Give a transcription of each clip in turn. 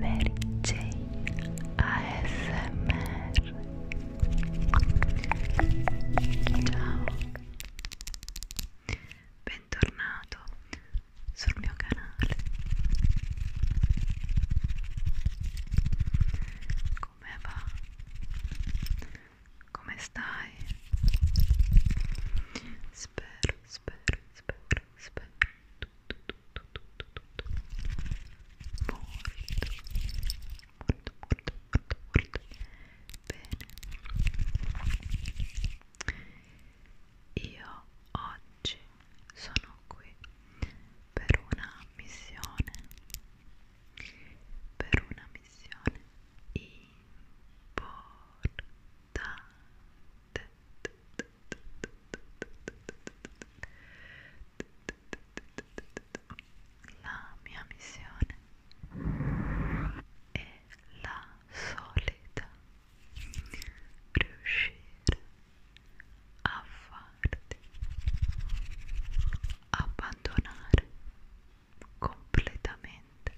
Mary Jane ASMR Ciao Bentornato sul mio canale Come va? Come stai? Spero, spero, spero, spero bene io oggi sono qui per una missione per una missione importante la mia missione è la solita riuscire a farti abbandonare completamente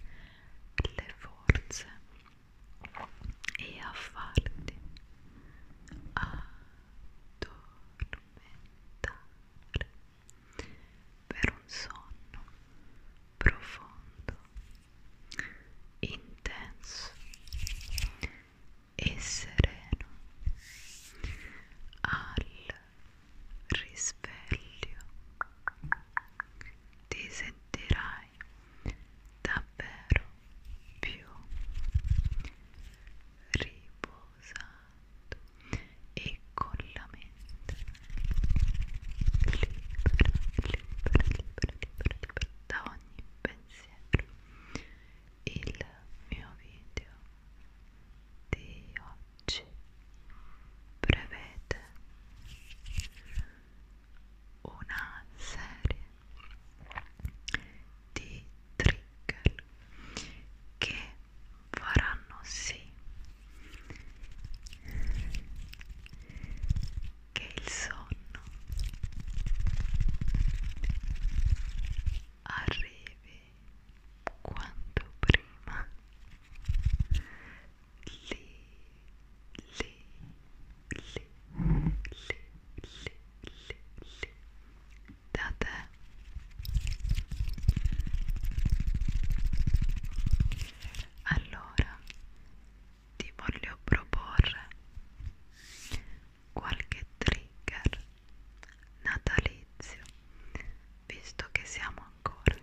le forze e a farti addormentare per un sonno profondo, intenso e sereno al risveglio ti sentirai mai davvero più riposato e con la mente libera, libera, libera, libera, libera da ogni pensiero il mio video di oggi prevede una serie di trigger che faranno sì che il sonno arrivi quanto prima lì, lì, lì, lì, lì, lì, lì, da te. Allora, ti voglio proporre qualche trigger natalizio, visto che siamo ancora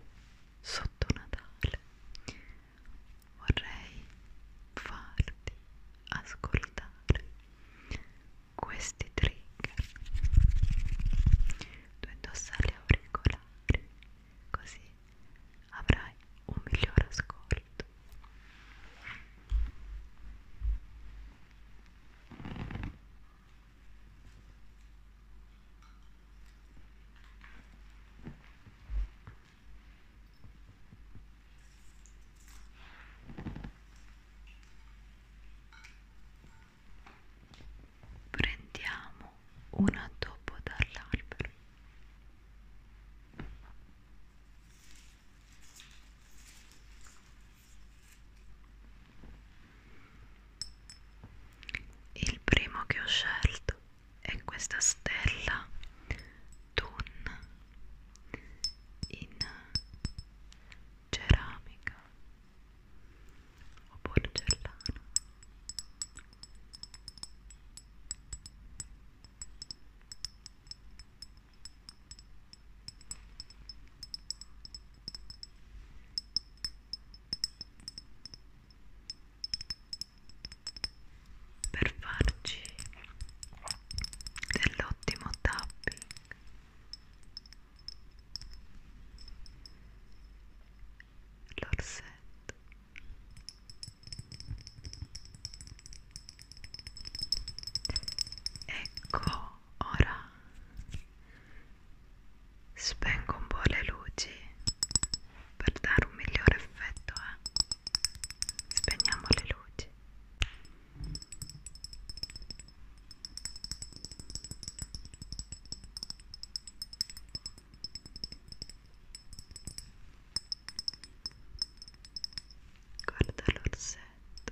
sotto Natale vorrei farti ascoltare questi trigger tu indossa gli auricolari così avrai un miglior ascolto Prendiamo un addobbo dall'albero. Il primo che ho scelto è questa stella Dun in ceramica o porcellana per farci dell'ottimo tapping l'orsetto ecco ora Spengo un po' le luci per dare un migliore effetto, eh. Spegniamo le luci. Guarda l'orsetto.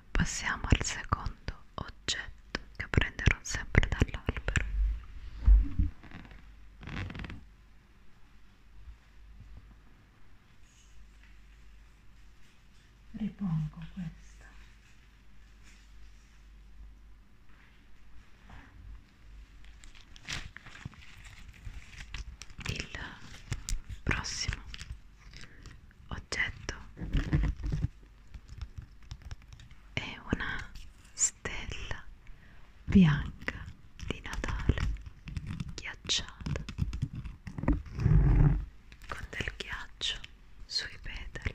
Passiamo al secondo oggetto che prenderò sempre dall'albero. Ripongo questo. Il prossimo oggetto è una stella bianca di Natale ghiacciata con del ghiaccio sui petali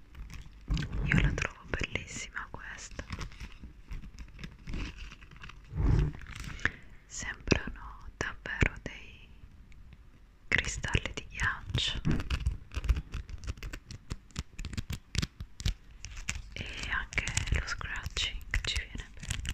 Io la trovo bellissima questa. Sembrano davvero dei cristalli di ghiaccio e anche lo scratching ci viene bene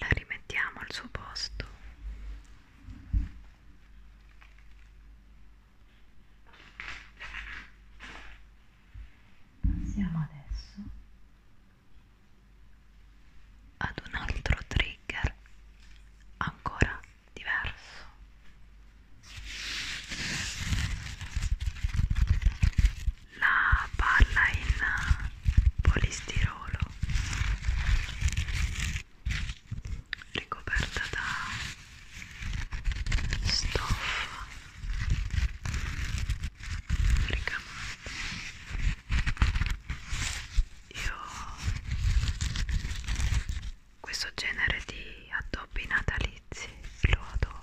La rimettiamo al suo posto Passiamo adesso ad un altro trigger ancora diverso. La palla in polistirolo ricoperta da stoffa ricamata io questo genere di addobbi natalizi lo adoro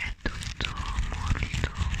è tutto molto triggeroso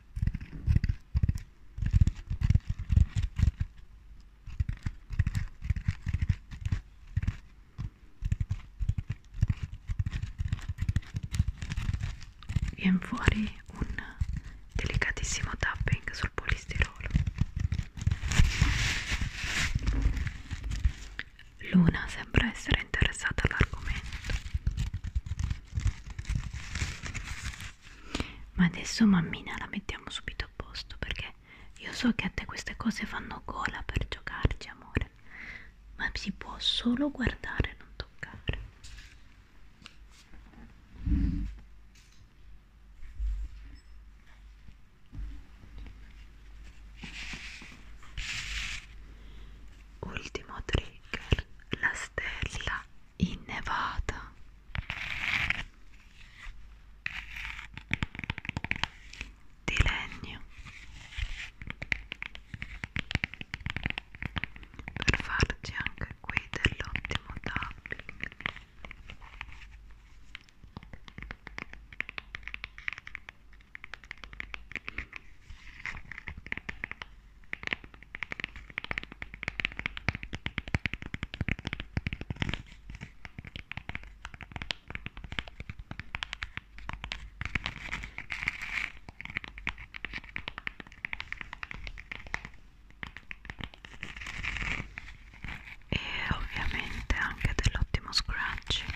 Viene fuori un delicatissimo tapping sul polistirolo. Luna sembra essere interessata all'argomento ma adesso mammina la mettiamo subito a posto perché io so che a te queste cose fanno gola per giocarci amore, ma si può solo guardare, non toccare. Ultimo trigger la stella innevata di legno per farci anche qui dell'ottimo tapping e ovviamente anche dell'ottimo scratching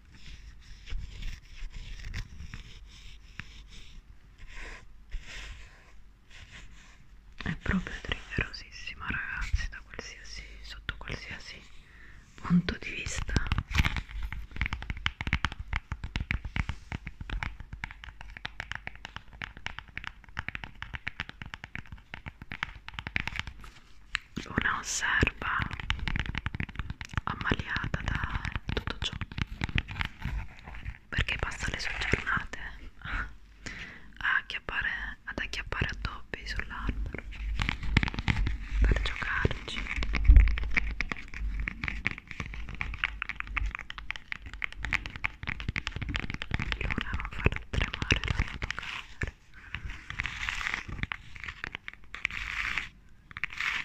è proprio triggerosissima ragazzi da qualsiasi sotto qualsiasi punto di vista una serva ammaliata da tutto ciò perché passa le sue giornate a acchiappare, ad acchiappare addobbi sull'albero per giocarci Luna non farà tremare la fotocamera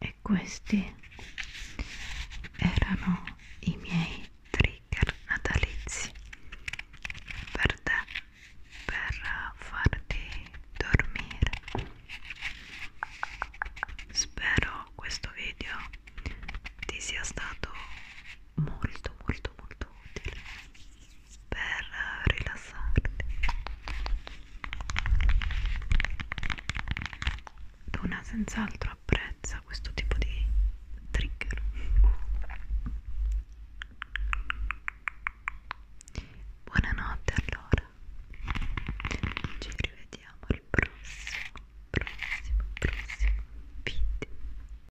e questi erano i miei trigger natalizi per te per farti dormire spero questo video ti sia stato molto molto molto utile per rilassarti Luna senz'altro apprezza questo tipo di trigger buonanotte allora ci rivediamo al prossimo prossimo prossimo video